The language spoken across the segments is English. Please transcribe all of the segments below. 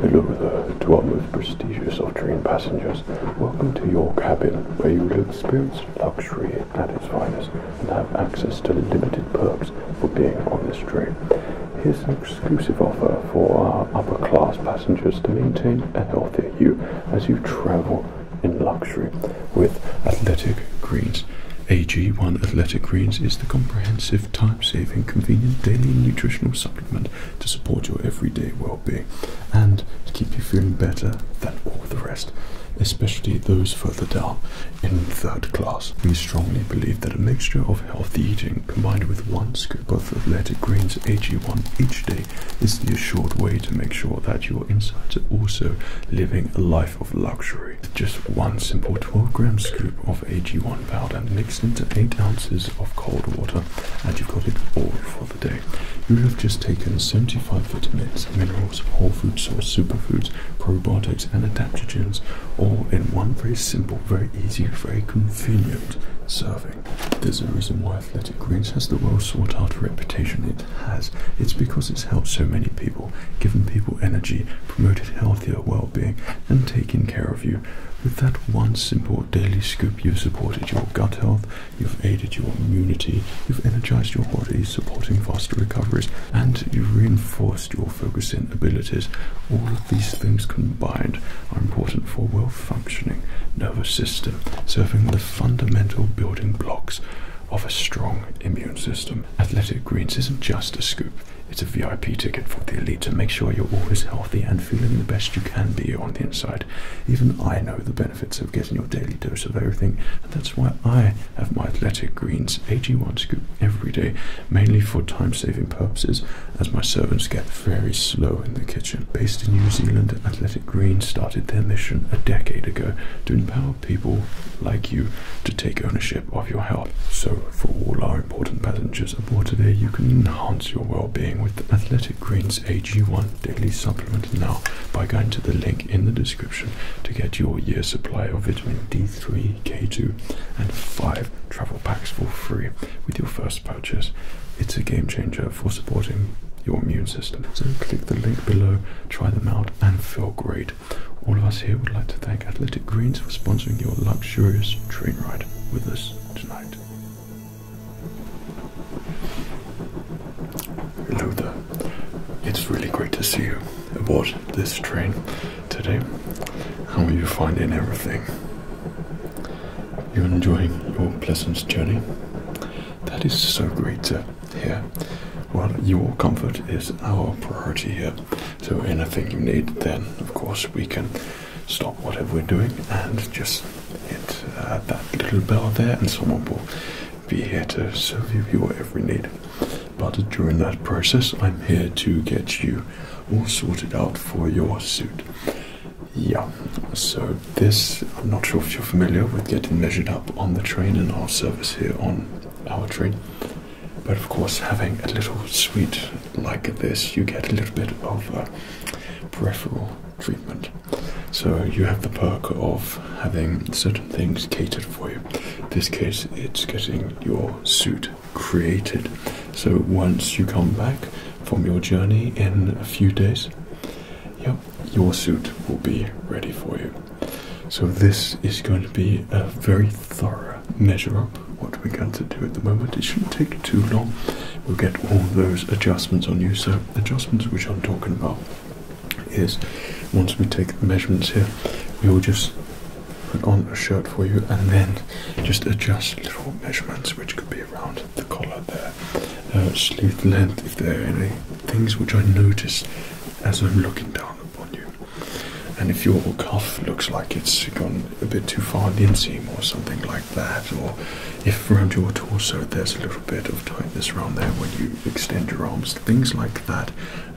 Hello there, to prestigious train passengers. Welcome to your cabin, where you will experience luxury at its and have access to limited perks for being on this train. Here's an exclusive offer for our upper class passengers to maintain a healthier you as you travel in luxury with Athletic Greens. AG1 Athletic Greens is the comprehensive time saving, convenient daily nutritional supplement to support your everyday well being and to keep you feeling better than all the rest, especially those further down in third class. We strongly believe that a mixture of healthy eating combined with one scoop of athletic greens AG1 each day is the assured way to make sure that your insides are also living a life of luxury. Just one simple 12 gram scoop of of AG1 powder mixed into 8 ounces of cold water and you've got it all for the day. You have just taken 75 vitamins, minerals, whole food source, superfoods, probiotics and adaptogens all in one very simple, very easy, very convenient serving. There's a reason why Athletic Greens has the well sought after reputation it has. It's because it's helped so many people, given people energy, promoted healthier well-being and taken care with that one simple daily scoop, you've supported your gut health, you've aided your immunity, you've energized your body, supporting faster recoveries, and you've reinforced your focusing abilities. All of these things combined are important for a well functioning nervous system, serving the fundamental building blocks of a strong immune system. Athletic Greens isn't just a scoop, it's a VIP ticket for the elite to make sure you're always healthy and feeling the best you can be on the inside. Even I know the benefits of getting your daily dose of everything, and that's why I have my Athletic Greens AG1 scoop every day, mainly for time saving purposes, as my servants get very slow in the kitchen. Based in New Zealand, Athletic Greens started their mission a decade ago to empower people like you to take ownership of your health. So, for all our important passengers aboard today, you can enhance your well-being with Athletic Greens AG1 daily supplement now by going to the link in the description to get your year supply of vitamin D3, K2, and five travel packs for free with your first purchase. It's a game changer for supporting your immune system. So click the link below, try them out, and feel great. All of us here would like to thank Athletic Greens for sponsoring your lunch luxurious train ride with us tonight. Hello It's really great to see you aboard this train today. How are you finding everything? You're enjoying your pleasant journey? That is so great to hear. Well, your comfort is our priority here so anything you need, then of course we can stop whatever we're doing and just hit uh, that little bell there, and someone will be here to serve you your every need. But during that process, I'm here to get you all sorted out for your suit. Yeah, so this, I'm not sure if you're familiar with getting measured up on the train in our service here on our train, but of course, having a little suite like this, you get a little bit of uh, peripheral treatment. So you have the perk of having certain things catered for you. this case, it's getting your suit created. So once you come back from your journey in a few days, your suit will be ready for you. So this is going to be a very thorough measure up what we're going to do at the moment. It shouldn't take too long. We'll get all those adjustments on you. So adjustments which I'm talking about is once we take the measurements here, we will just put on a shirt for you and then just adjust little measurements which could be around the collar there, uh, sleeve length if there are any things which I notice as I'm looking down upon you. And if your cuff looks like it's gone a bit too far in the seam, or something like that, or if around your torso there's a little bit of tightness around there when you extend your arms, things like that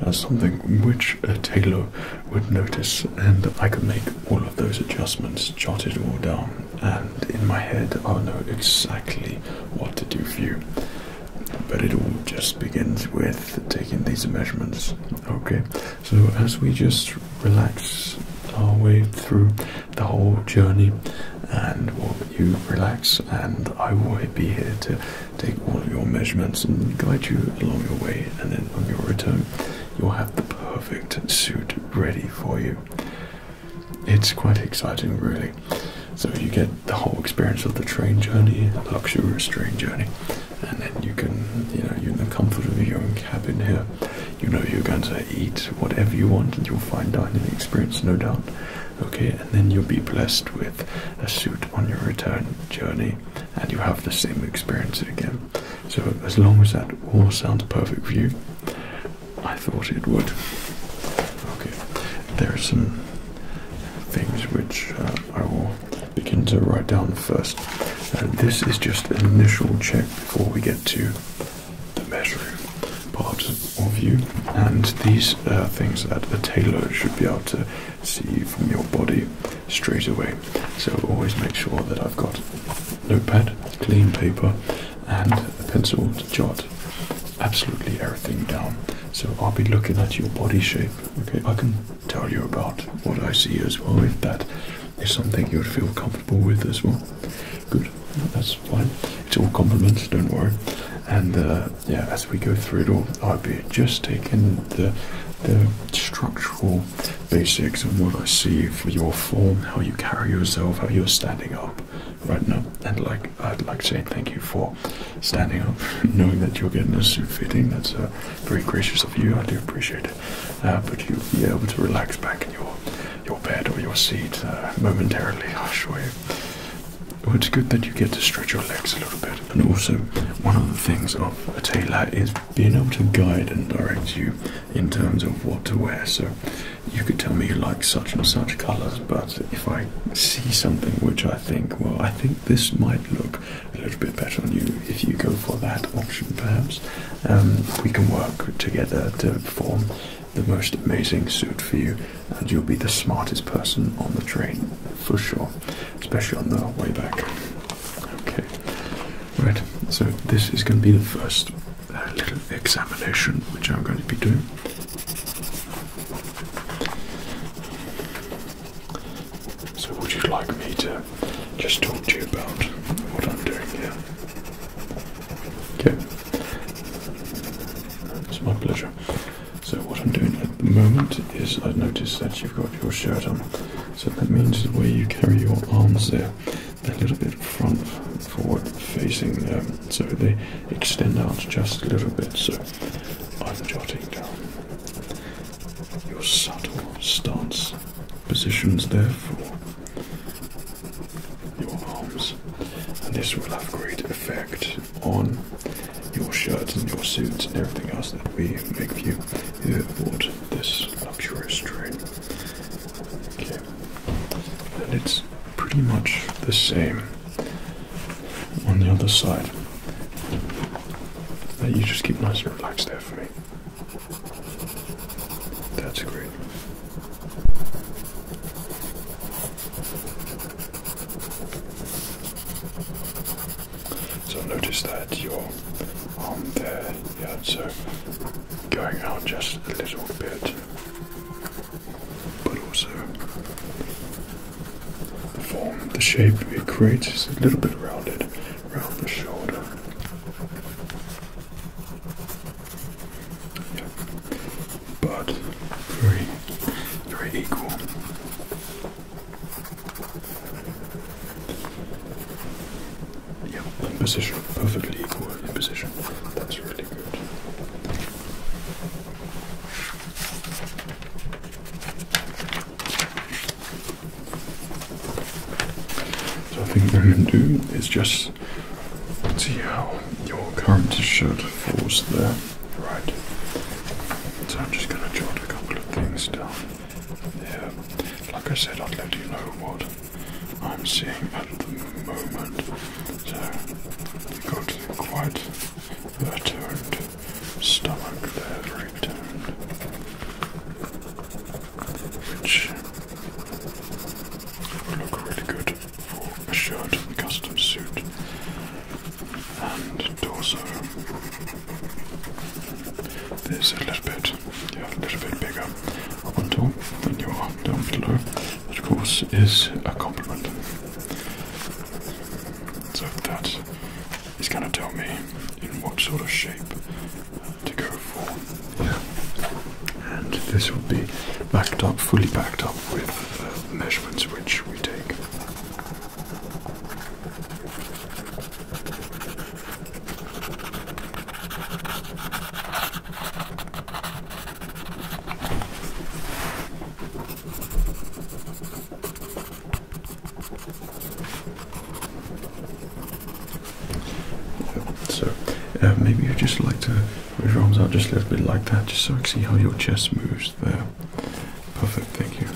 are something which a tailor would notice. And I could make all of those adjustments jotted all down, and in my head I'll know exactly what to do for you. But it all just begins with taking these measurements. Okay, so as we just relax our way through the whole journey, and you relax, and I will be here to take all of your measurements and guide you along your way, and then on your return, you'll have the perfect suit ready for you. It's quite exciting, really. So, you get the whole experience of the train journey, the luxurious train journey, and then you can, you know, you're in the comfort of your own cabin here. You know you're going to eat whatever you want, and you'll find dining experience, no doubt. Okay, and then you'll be blessed with a suit on your return journey, and you have the same experience again. So as long as that all sounds perfect for you, I thought it would. Okay, there are some things which uh, I will begin to write down first. Uh, this is just an initial check before we get to the measuring parts of you, and these are things that a tailor should be able to see from your body straight away. So always make sure that I've got notepad, clean paper, and a pencil to jot absolutely everything down. So I'll be looking at your body shape. Okay, I can tell you about what I see as well, if that is something you'd feel comfortable with as well. Good, that's fine. It's all compliments, don't worry. And uh, yeah, as we go through it all, I'll be just taking the, the structural basics and what I see for your form, how you carry yourself, how you're standing up right now. And like I'd like to say thank you for standing up, knowing that you're getting a suit fitting. That's uh, very gracious of you. I do appreciate it. Uh, but you'll be able to relax back in your your bed or your seat uh, momentarily. I assure you. it's good that you get to stretch your legs a little bit, and also one of the things of a tailor is being able to guide and direct you in terms of what to wear. So you could tell me you like such and such colours, but if I see something which I think, well, I think this might look a little bit better on you if you go for that option, perhaps. Um, we can work together to form the most amazing suit for you, and you'll be the smartest person on the train for sure, especially on the way back. Okay, right, so this is going to be the first uh, little examination which I'm going to be doing. So, would you like me to just talk to you about what I'm doing here? Okay. It's my pleasure. So, what I'm doing at the moment is I've noticed that you've got your shirt on. So, that means the way you carry your arms there, they're a little bit front forward facing, um, so they extend out just a little bit. So, I'm jotting down your subtle stance positions, therefore, your arms, and this will have great effect on your shirt and your suit and everything else that we make for you here aboard this luxurious train. and it's pretty much the same on the other side. You just keep nice and relaxed there for me. That's great. So notice that your arm there, yeah, so uh, going out just a little bit, but also the form, the shape it creates is a little bit rounded around the shoulder. Yeah. But very, very equal. Yep, in position, perfectly equal in position. That's really good. So I think what I'm going to do is just see how your current shirt falls there. Right. So I'm just going to jot a couple of things down here. Like I said, I'll let you know what I'm seeing at the moment. So we have got quite a turned stomach there which would look really good for a shirt and custom suit and torso. This a little bit, yeah, a little bit bigger up on top than you are down below. That of course is a compliment. So that is going to tell me in what sort of shape to go for And this will be backed up, fully backed up with uh, measurements which we take. So uh, maybe you just like to put your arms out just a little bit like that, just so I can see how your chest moves there. Perfect, thank you.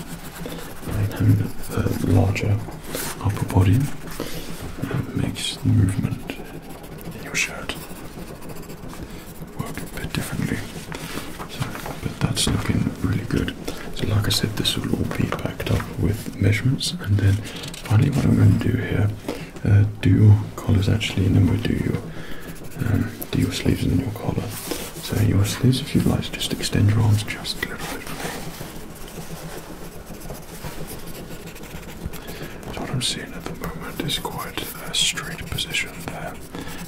And having uh, the, larger upper body that uh, makes the movement in your shirt work a bit differently. but that's looking really good. So like I said, this will all be backed up with measurements and then finally what I'm going to do here, uh, do your collars actually and then we do your, um, do your sleeves and your collar. So your sleeves if you'd like, just extend your arms just a little bit. So what I'm seeing at the moment is quite a straight position there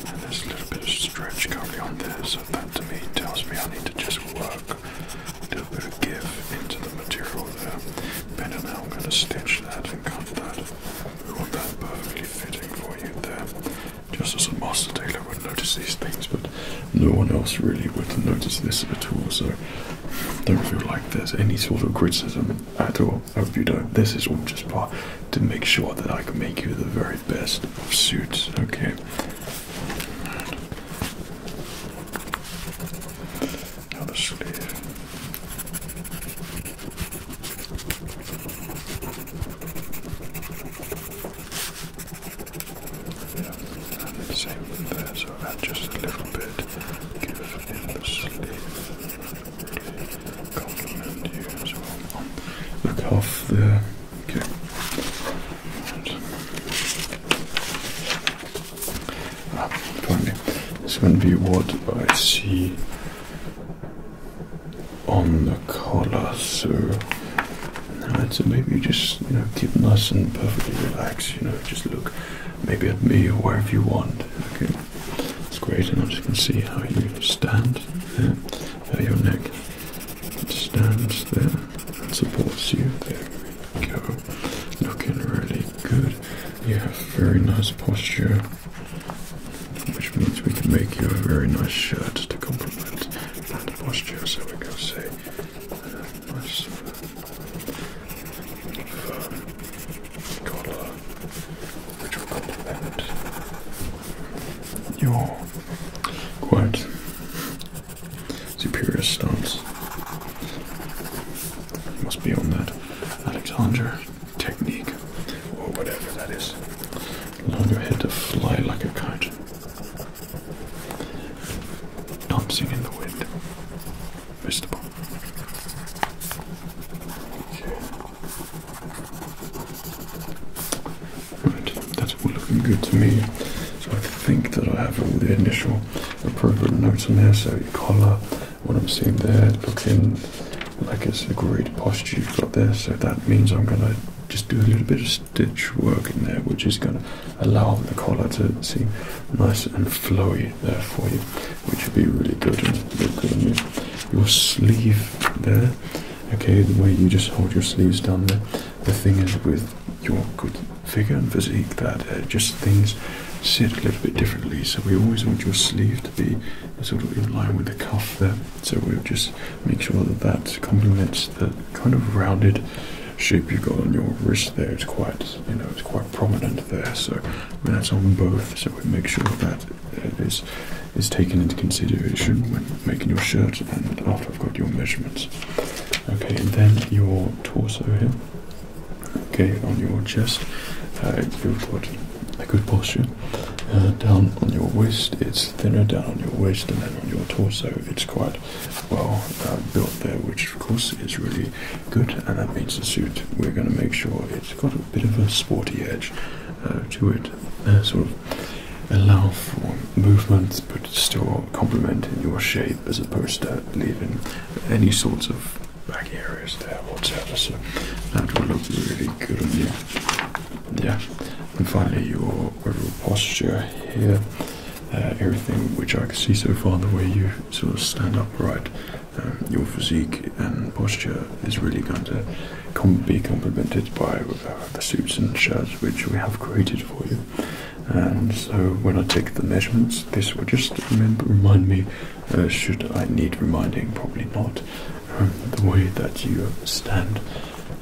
and there's a little bit of stretch currently on there so that to me tells me I need to just work a bit of give into the material there. and now I'm going to stitch that and cut that. We want that perfectly fitting for you there. Just as a master tailor would notice these things, but no one else really would notice this at all, so don't feel like there's any sort of criticism at all. I hope you don't. This is all just part to make sure that I can make you the very best of suits, okay? Another sleeve. Yeah, same there, so add just a little bit. Give in sleeve. Really you as well. Look off the Okay. Right. Ah, finally, it's going to be what I see on the collar. So, right, uh, so maybe just you know keep nice and perfectly relaxed. You know, just look maybe at me or wherever you want. Okay, it's great, and I just can see how you stand, there, how your neck it stands there and supports you. There we go. Looking really good. You have very nice posture, which means we can make you a very nice shirt to complement that posture. So we go say uh, nice uh, firm collar, which will complement your quite Superior stance. must be on that Alexander technique, or whatever that is. Allow your head to fly like a kite. Dancing in the wind. Mr. Okay. Right, that's all looking good to me. So I think that I have all the initial appropriate notes on there. So your collar, what I'm seeing there, looking like it's a great posture you've got there. So that means I'm going to just do a little bit of stitch work in there, which is going to allow the collar to seem nice and flowy there for you, which would be really good and look good on you. Your sleeve there, okay, the way you just hold your sleeves down there. The thing is with your good figure and physique that uh, just things sit a little bit differently. So we always want your sleeve to be sort of in line with the cuff there. So we'll just make sure that that complements the kind of rounded shape you've got on your wrist there. It's quite, you know, it's quite prominent there. So that's on both. So we make sure that uh, is taken into consideration when making your shirt and after I've got your measurements. Okay, and then your torso here. Okay, on your chest, uh, you've got a good posture. Uh, down on your waist, it's thinner. Down on your waist, and then on your torso, it's quite well uh, built there, which of course is really good. And that means the suit we're going to make sure it's got a bit of a sporty edge uh, to it, sort of allow for movement, but still complementing your shape as opposed to leaving any sorts of back areas there whatsoever. So that will look really good on you. Yeah. And finally your overall posture here. Uh, everything which I can see so far, the way you sort of stand upright, um, your physique and posture is really going to be complemented by uh, the suits and shirts which we have created for you and so when I take the measurements this will just remind me uh, should I need reminding probably not um, the way that you stand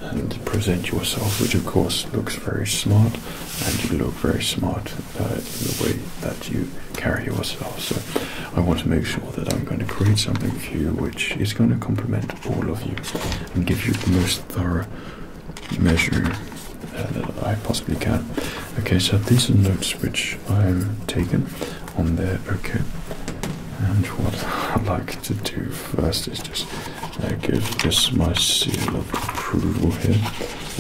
and present yourself which of course looks very smart and you look very smart uh, in the way that you carry yourself so I want to make sure that I'm going to create something for you which is going to complement all of you and give you the most thorough measure that uh, I possibly can. Okay, so these are notes which I've taken on there. Okay, and what I'd like to do first is just uh, give this my seal of approval here.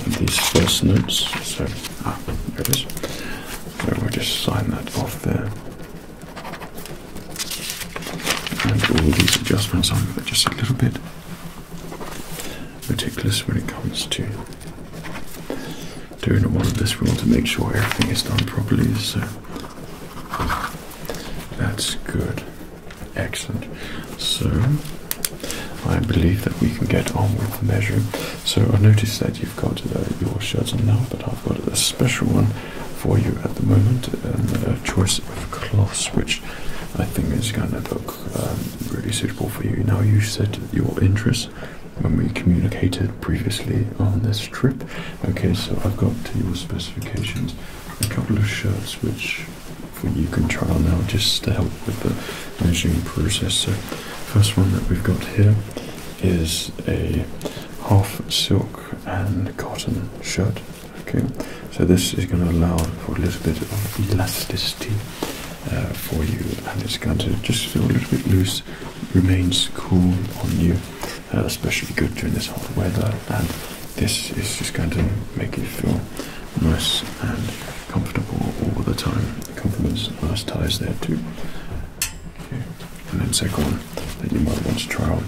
And these first notes. So ah, there it is. So we'll just sign that off there. And all these adjustments on, but just a little bit meticulous when it comes to doing all of this. We want to make sure everything is done properly, so that's good. Excellent. So I believe that we can get on with the measuring. So I noticed that you've got uh, your shirt on now, but I've got a special one for you at the moment, a choice of cloths which I think it's going to look really suitable for you. Now, you said your interests when we communicated previously on this trip. Okay, so I've got to your specifications a couple of shirts which you can try now just to help with the aging process. So, first one that we've got here is a half silk and cotton shirt. Okay, so this is going to allow for a little bit of elasticity uh, for you, and it's going to just feel a little bit loose, remains cool on you, uh, especially good during this hot weather. And this is just going to make you feel nice and comfortable all the time. Compliments, nice ties there too. Okay. And then second one that you might want to try on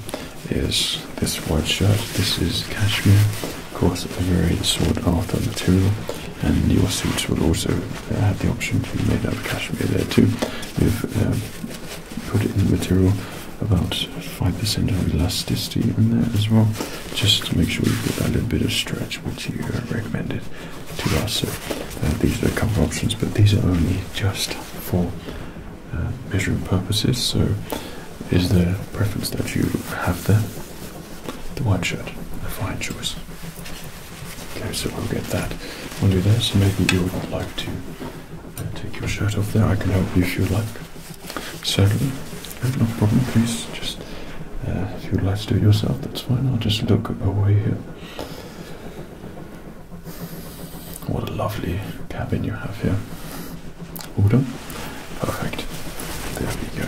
is this white shirt. This is cashmere, of course, a very sought after material. And your suits will also uh, have the option to be made out of cashmere there too. We've um, put it in the material about 5% of elasticity in there as well, just to make sure you get that little bit of stretch which you recommended to us. So uh, these are a couple of options, but these are only just for uh, measuring purposes. So, is there a preference that you have there? The white shirt, a fine choice. Okay, so we'll get that. We'll do this? maybe you would like to uh, take your shirt off there. I can help you if you like. Certainly, no, problem. Please, just uh, if you'd like to do it yourself, that's fine. I'll just look away here. What a lovely cabin you have here. All done? Perfect. There we go.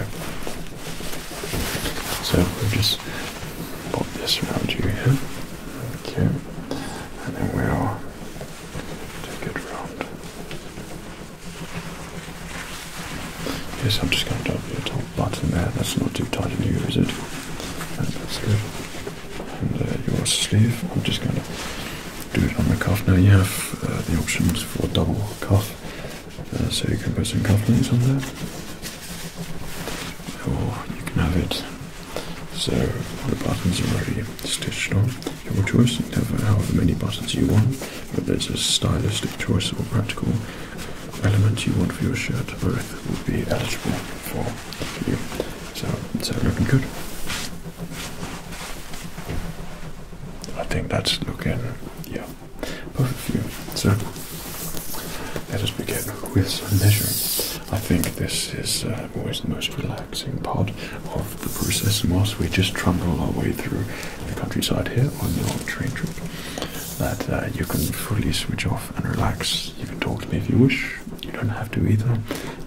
So we'll just pop this around you here. Okay. And then we'll take it round. Yes, I'm just going to double the top button there. That's not too tight on you, is it? that's good. And uh, your sleeve, I'm just going to do it on the cuff. Now you have the options for double cuff, so you can put some cufflinks on there, or you can have it so all the buttons are already stitched on. Your choice, have however many buttons you want, but there's a stylistic choice or practical element you want for your shirt, both would be eligible for you. So it's so looking good. I think that's looking, yeah, both of you. So let us begin with some measurements. I think this is uh, always the most relaxing part of the process, whilst we just trundle our way through the countryside here on your train trip, that uh, you can fully switch off and relax. You can talk to me if you wish. You don't have to either.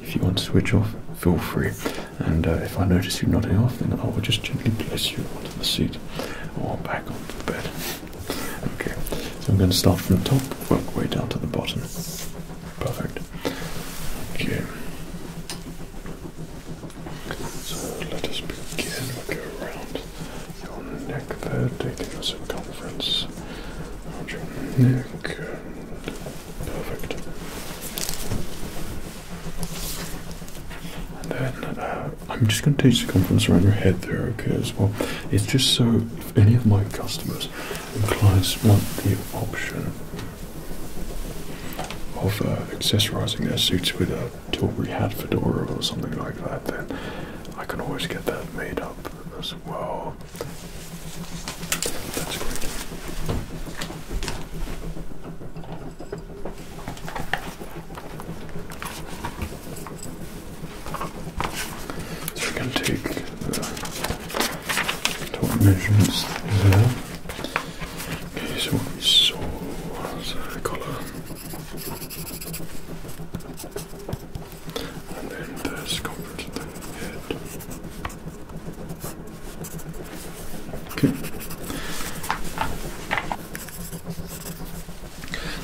If you want to switch off, feel free. And uh, if I notice you nodding off, then I will just gently place you onto the seat or back onto the bed. Okay, so I'm going to start from the top, work way down to the bottom. Perfect. Okay. So let us begin. we go around your neck there, taking the circumference around your neck. Perfect then uh, I'm just going to take the circumference around your head there, okay, as well. It's just so if any of my customers and clients want the option of uh, accessorizing their suits with a Tilbury hat fedora or something like that, then I can always get that made up as well. That's great. So we're going to take the top measurements there. Okay, so what we saw was a collar, and then the circumference of the head. Okay.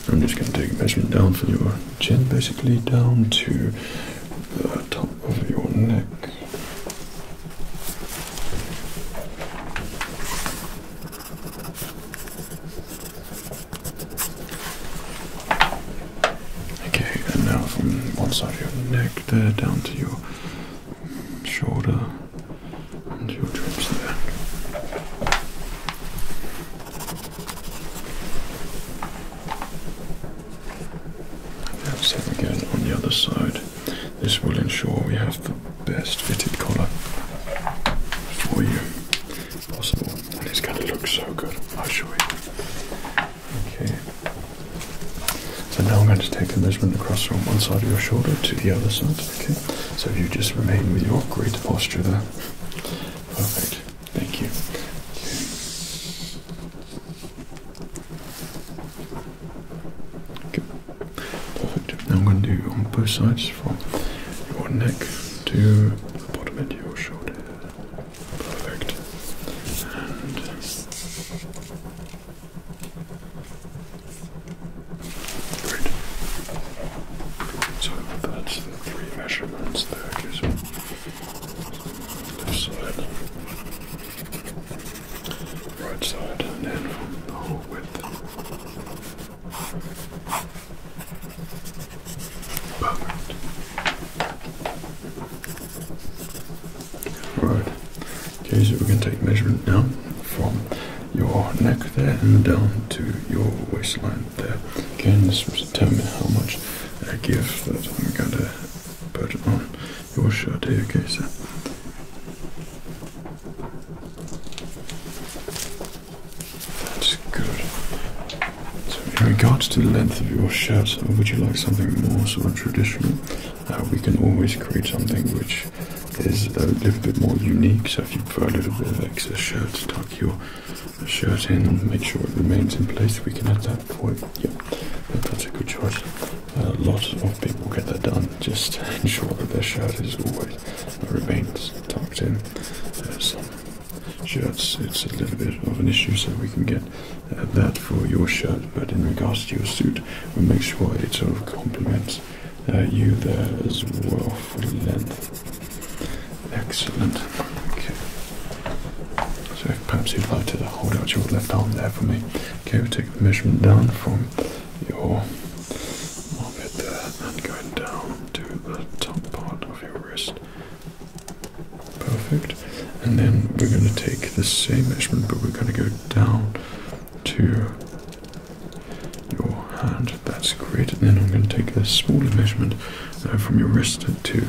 I'm just going to take a measurement down for your chin, basically down to the top of your neck. Okay, and now from one side of your neck there down to your Shorter, and your trips there. Now same again on the other side. This will ensure we have the best fitted collar for you possible. And it's going to look so good, I assure you. Okay. So now I'm going to take a measurement across from one side of your shoulder to the other side. Okay. So if you just remain with your great posture there. Perfect. Thank you. Okay. Perfect. Now I'm going to do on both sides from your neck to the bottom end of your shoulder. Perfect. Great. So that's the three measurements there, gives me side, right side, and then from the whole width. Right. Okay, so we're going to take measurement down from your neck there and down to your waistline there. Again, this will determine how much uh, give that I'm going to put on your shirt here. Okay, so. That's good. So, in regards to the length of your shirt, would you like something more sort of traditional? we can always create something which is a little bit more unique. So if you prefer a little bit of excess shirt, tuck your shirt in and make sure it remains in place, we can add that point. it. that's a good choice. A lot of people get that done. Just ensure that their shirt is always remains tucked in. Uh, some shirts, it's a little bit of an issue, so we can get uh, that for your shirt, but in regards to your suit, we'll make sure it sort of complements uh, you there as well for Excellent. Okay. So perhaps you'd like to hold out your left arm there for me. Okay, we'll take the measurement down from your armpit there and going down to the top part of your wrist. Perfect. And then we're going to take the same measurement, but we're going to go down to your hand. That's great. And then I'm going to take a smaller measurement uh, from your wrist to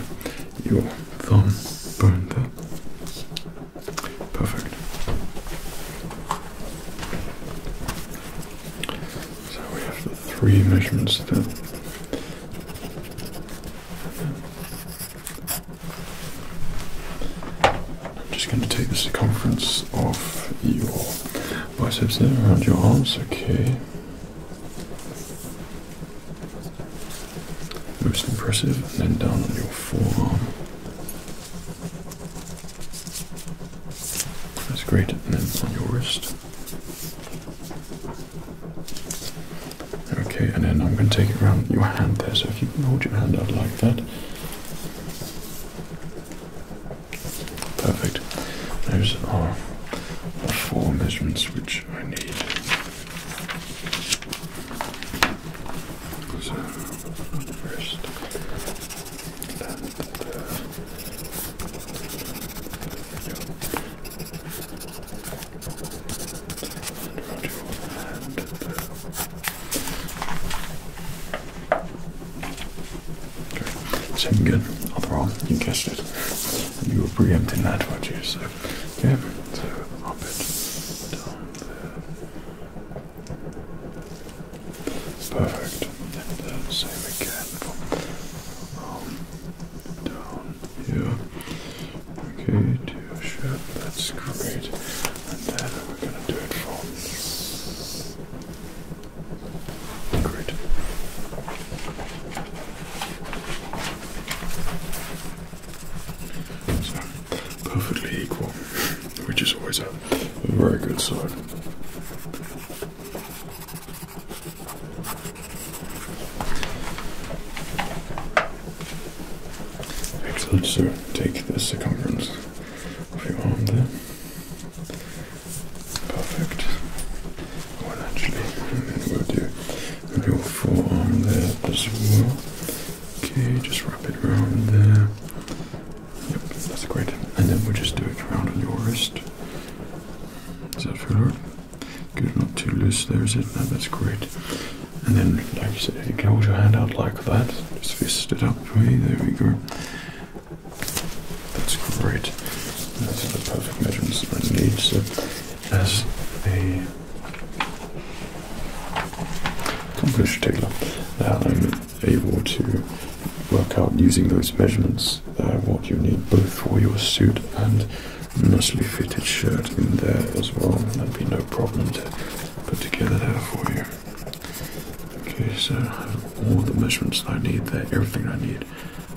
your thumb bone there. Perfect. So we have the three measurements there. I'm just going to take the circumference of your biceps there around your arms, okay. Most impressive, and then down on your forearm. That's great, and then on your wrist. Okay, and then I'm going to take it around your hand there. So if you can hold your hand out like that. Perfect. Those are the four measurements which I need. So, first, and uh, your hand there. Second good, other arm, you guessed it. And you were preempting that, weren't you? So, yeah, so up it, down there. Perfect. And then uh, same again from down here. Okay, to your shirt, that's great. And then we're gonna do it from great. So perfectly equal, which is always a very good sign. Excellent, sir. Take the circumference of your arm there. Perfect. Well, actually, and then we'll do your forearm there as well. Okay, just wrap it around there. Yep, that's great. And then we'll just do it around on your wrist. Is that feel right? Good, not too loose there, is it? No, that's great. And then, like you said, you can hold your hand out like that. Just fist it up There we go. That's great. That's the perfect measurements that I need. So, as a accomplished tailor, now I'm able to work out using those measurements uh, what you need both for your suit and nicely fitted shirt in there as well. there would be no problem put together there for you. Okay, so I have all the measurements I need there, everything I need,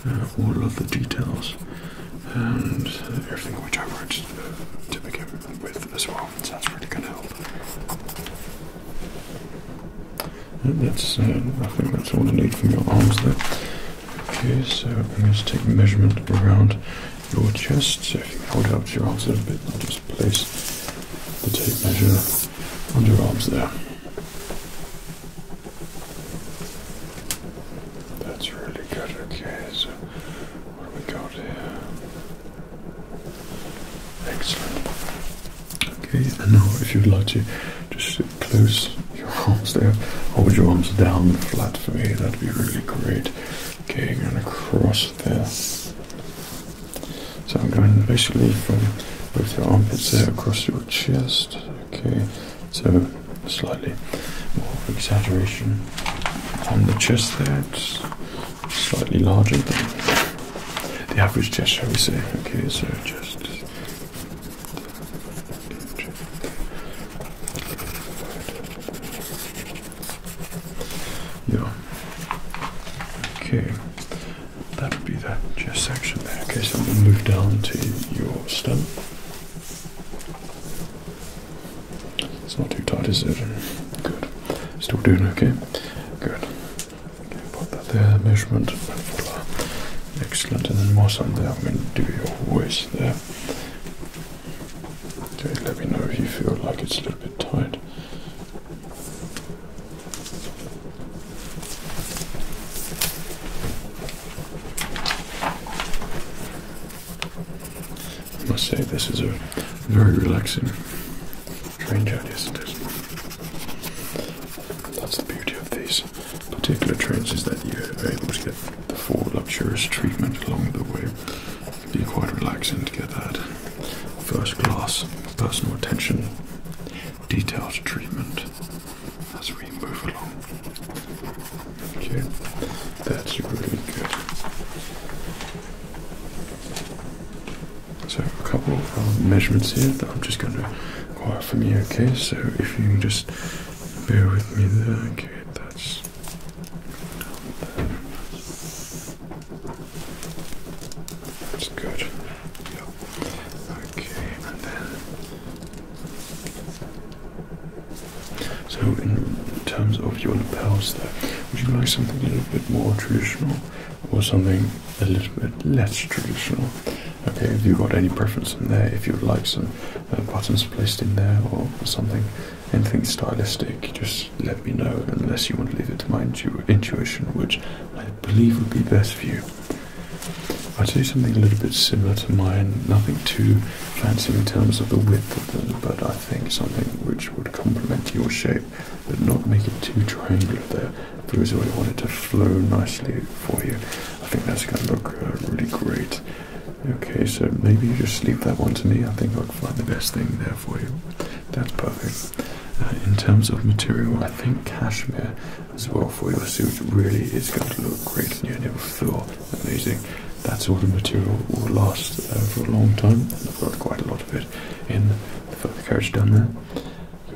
uh, all of the details, and everything which I have uh, to begin with as well. So that's really going to help. that's, uh, I think that's all I need from your arms there. Okay, so I'm going to take measurement around your chest. So if you hold out your arms a little bit, I'll just place the tape measure on your arms there. That's really good. Okay, so what have we got here? Excellent. Okay, and now if you'd like to just close your arms there, hold your arms down flat for me, that'd be really great. Okay, you're going to cross there. So I'm going basically from both your armpits there across your chest. Okay, so slightly more exaggeration on the chest there. slightly larger than the average gesture we say. Okay, so just. Yeah. Okay. That would be that chest section there. Okay, so I'm going to move down to your stomach. It's not too tight, is it? Good. Still doing okay? Good. Okay, put that there. Measurement. Excellent. And then more something there. I'm going to do your waist there. Okay, let me know if you feel like it's a little bit tight. I must say, this is a very relaxing train journey, That's the beauty of these particular trains is that you are able to get the full luxurious treatment along the way. It'd be quite relaxing to get that first class personal attention, detailed treatment as we move along. Okay, that's really good. So, a couple of um, measurements here that I'm just going to require from you, okay? So, if you can just bear with me there, okay, that's that's good. Okay, and So, in terms of your lapels, there, would you like something a little bit more traditional or something a little bit less traditional? Okay, have you got any preference in there? If you would like some uh, buttons placed in there or something, anything stylistic, just let me know unless you want to leave it to my intuition, which I believe would be best for you. I do something a little bit similar to mine, nothing too fancy in terms of the width of them, but I think something which would complement your shape but not make it too triangular there. Because I want it to flow nicely for you. I think that's going to look uh, really great. Okay, so maybe you just leave that one to me. I think I'll find the best thing there for you. That's perfect. Uh, in terms of material, I think cashmere as well for your suit really is going to look great on your new floor. Amazing. That sort of material will last uh, for a long time, and I've got quite a lot of it in the carriage down there.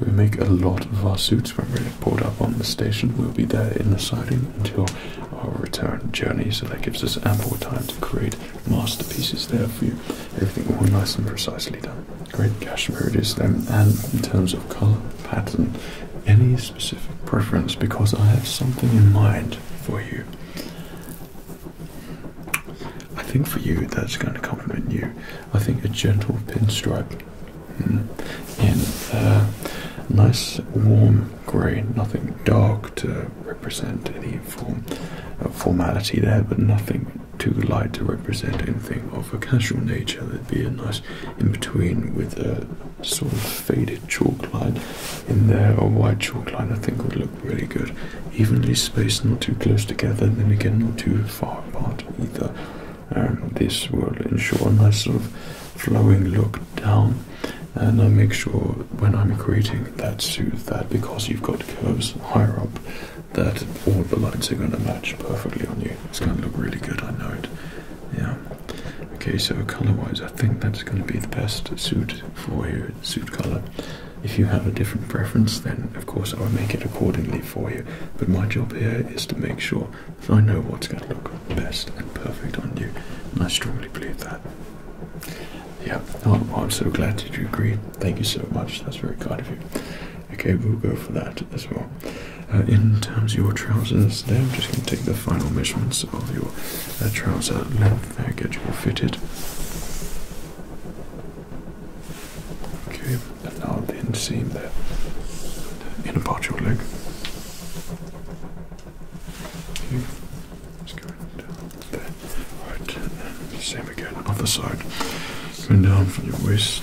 We make a lot of our suits when we're pulled up on the station. We'll be there in the siding until our return journey, so that gives us ample time to create masterpieces there for you. Everything all nice and precisely done. Great cashmere it is then. And in terms of colour, pattern, any specific preference? Because I have something in mind for you. I think for you that's going to complement you. I think a gentle pinstripe hmm, in a uh, nice warm grey, nothing dark represent any form of uh, formality there, but nothing too light to represent anything of a casual nature. There'd be a nice in between with a sort of faded chalk line in there, a white chalk line I think would look really good. Evenly spaced, not too close together, and then again not too far apart either. And um, this will ensure a nice sort of flowing look down and I make sure when I'm creating that suit, that because you've got curves higher up that all the lines are going to match perfectly on you. It's going to look really good, I know it. Yeah. Okay, so color-wise, I think that's going to be the best suit for you, suit color. If you have a different preference, then of course I'll make it accordingly for you. But my job here is to make sure I know what's going to look best and perfect on you, and I strongly believe that. Yeah, oh, I'm so glad that you agree. Thank you so much. That's very kind of you. Okay, we'll go for that as well. Uh, in terms of your trousers, there, I'm just going to take the final measurements of your trousers, uh, trouser length there, get you all fitted. Okay, and now the inseam there, the inner part of your leg. Okay. It's going down there. Right, same again, other side. Going down from your waist.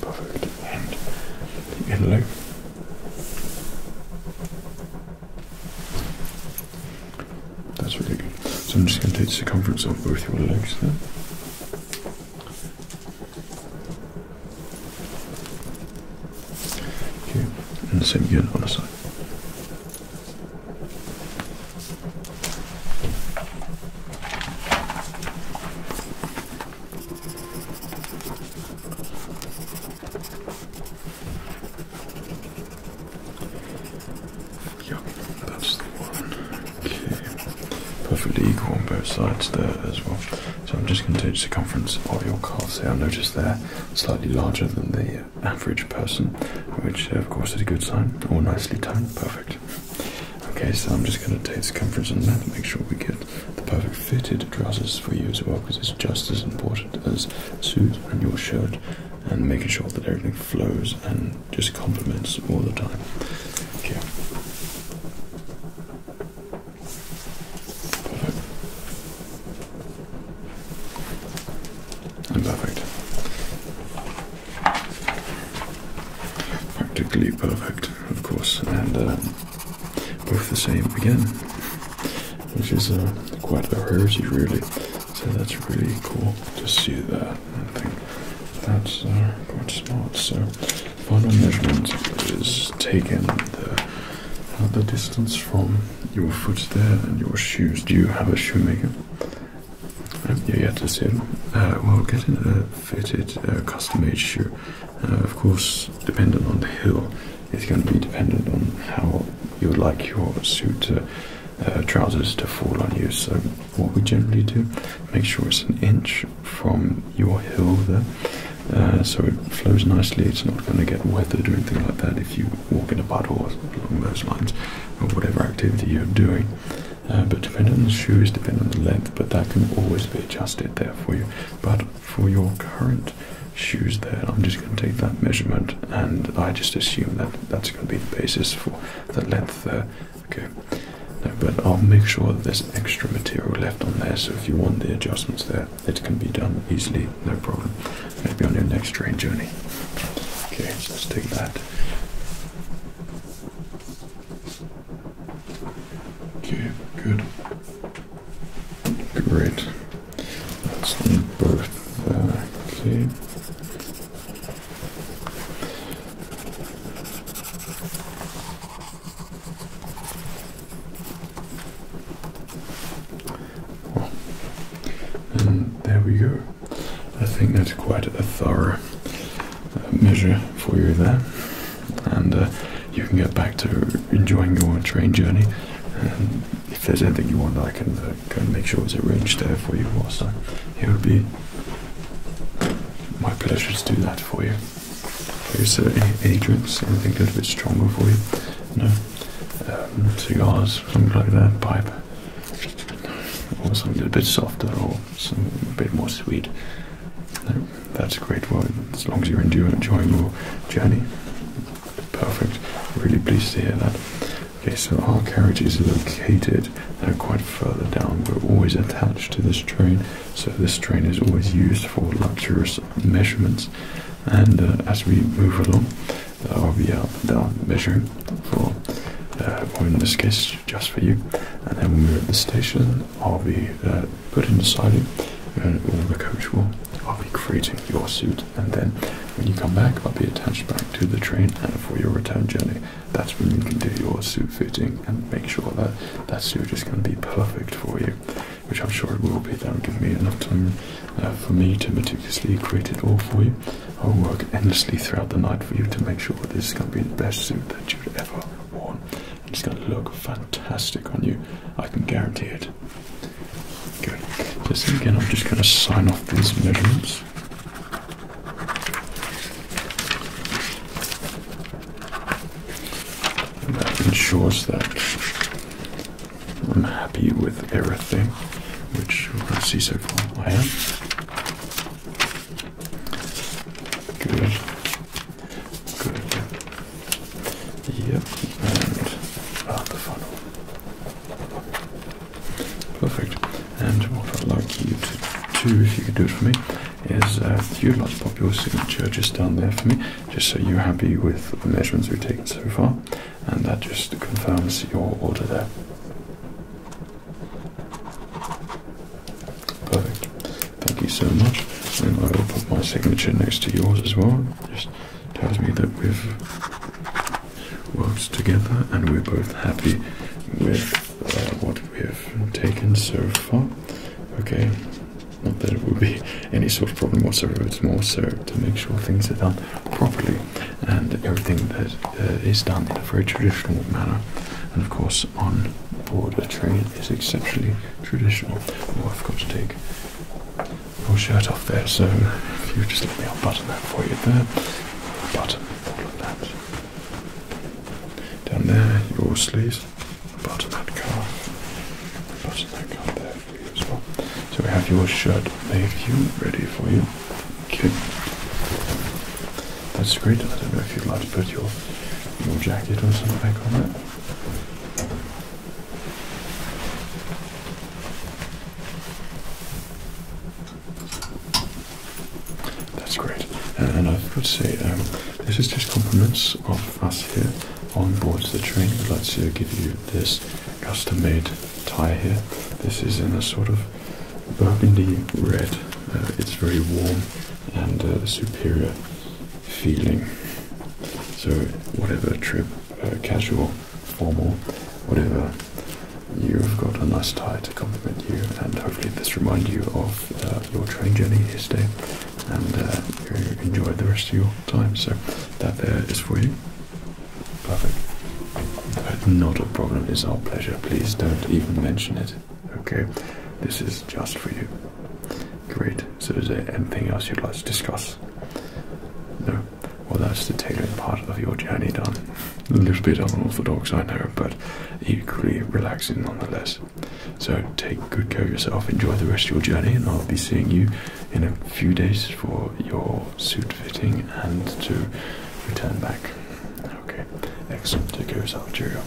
Perfect. And the inner leg. That's really good. So I'm just going to take the circumference of both your legs there. Okay, and same again on the side. Yep, that's the one. Okay, perfectly equal on both sides there as well. So I'm just going to take do circumference of your calves here. I noticed they're slightly larger than the average person, which uh, of course is a good sign. All nicely toned, perfect. Okay, so I'm just going to take circumference on that, make sure we get the perfect fitted trousers for you as well, because it's just as important as suit and your shirt, and making sure that everything flows and just complements all the time. Okay. Perfect. Practically perfect, of course, and um, both the same again, which is uh, quite a rarity, really. So that's really cool to see that. I think that's uh, quite smart. So final measurement is taken the, uh, the distance from your foot there and your shoes. Do you have a shoemaker? Um, yeah, yeah, that's it. Uh, well, getting a fitted, uh, custom-made shoe, of course, dependent on the heel, It's going to be dependent on how you would like your suit, trousers to fall on you. So, what we generally do, make sure it's an inch from your heel there, uh, so it flows nicely. It's not going to get weathered or anything like that if you walk in a puddle or along those lines, or whatever activity you're doing. Uh, but depending on the shoes, depending on the length, but that can always be adjusted there for you. But for your current shoes there, I'm just going to take that measurement and I just assume that that's going to be the basis for the length there. Okay, but I'll make sure there's extra material left on there, so if you want the adjustments there, it can be done easily, no problem. Maybe on your next train journey. Okay, so let's take that. Okay, good. Great. Let's need both. okay there we go. I think that's quite a thorough uh, measure for you there, and uh, you can get back to enjoying your train journey. And if there's anything you want, I can uh, go make sure it's arranged there for you. Also, it would be my pleasure to do that for you. Okay, so any, any drinks? Anything a little bit stronger for you? No? Um, cigars, something like that, pipe? something a bit softer or something a bit more sweet? No? That's great. Well, as long as you're enjoying your journey, perfect. Really pleased to hear that. Okay, so our carriage is located quite further down. We're always attached to this train, so this train is always used for luxurious measurements and uh, as we move along there uh, will be up and down for uh, or in this case just for you and then when we're at the station I'll be putting the siding and all the coach will I'll be creating your suit and then when you come back I'll be attached back to the train and for your return journey that's when you can do your suit fitting and make sure that that suit is going to be perfect for you which I'm sure it will be. That will give me enough time uh, for me to meticulously create it all for you. I'll work endlessly throughout the night for you to make sure this is going to be the best suit that you've ever worn. it's going to look fantastic on you. I can guarantee it. Good. Just again, I'm just going to sign off these measurements and that ensures that I'm happy with everything, which I can see so far I am. Good. Good. Yep. And the funnel. Perfect. And what I'd like you to do, if you could do it for me, is uh, you'd like to pop your signature just down there for me just so you're happy with the measurements we've taken so far, and that just confirms your order there. Perfect. Thank you so much. And I will put my signature next to yours as well. Just tells me that we've worked together and we're both happy with uh, what we've taken so far. Okay. Not that it would be any sort of problem whatsoever, it's more so to make sure things are done properly and everything that uh, is done in a very traditional manner. And of course, on board the train is exceptionally traditional. Oh, I've got to take my shirt off there, so if you just let me unbutton that for you there. Button all of that. Down there, your sleeves button that card. Button that card there as well. So we have your shirt made for you ready for you. Okay. That's great. I don't know if you'd like to put your your jacket or something back on it. That's great. And, and I would say um, this is just compliments of us here on board the train. But let's uh, give you this custom-made tie here. This is in a sort of burgundy red. Uh, it's very warm and uh, superior feeling. So whatever trip, uh, casual, formal, whatever, you've got a nice tie to compliment you and hopefully this reminds you of your train journey yesterday and uh, enjoy the rest of your time. So that there is for you. Perfect. not a problem. It's our pleasure. Please don't even mention it. Okay. This is just for you. Great. So is there anything else you'd like to discuss? No. Well, that's the tailoring part of your journey done. A little bit unorthodox, I know, but equally relaxing nonetheless. So take good care of yourself, enjoy the rest of your journey, and I'll be seeing you in a few days for your suit fitting and to return back. Okay, excellent. Take care of yourself. Cheerio.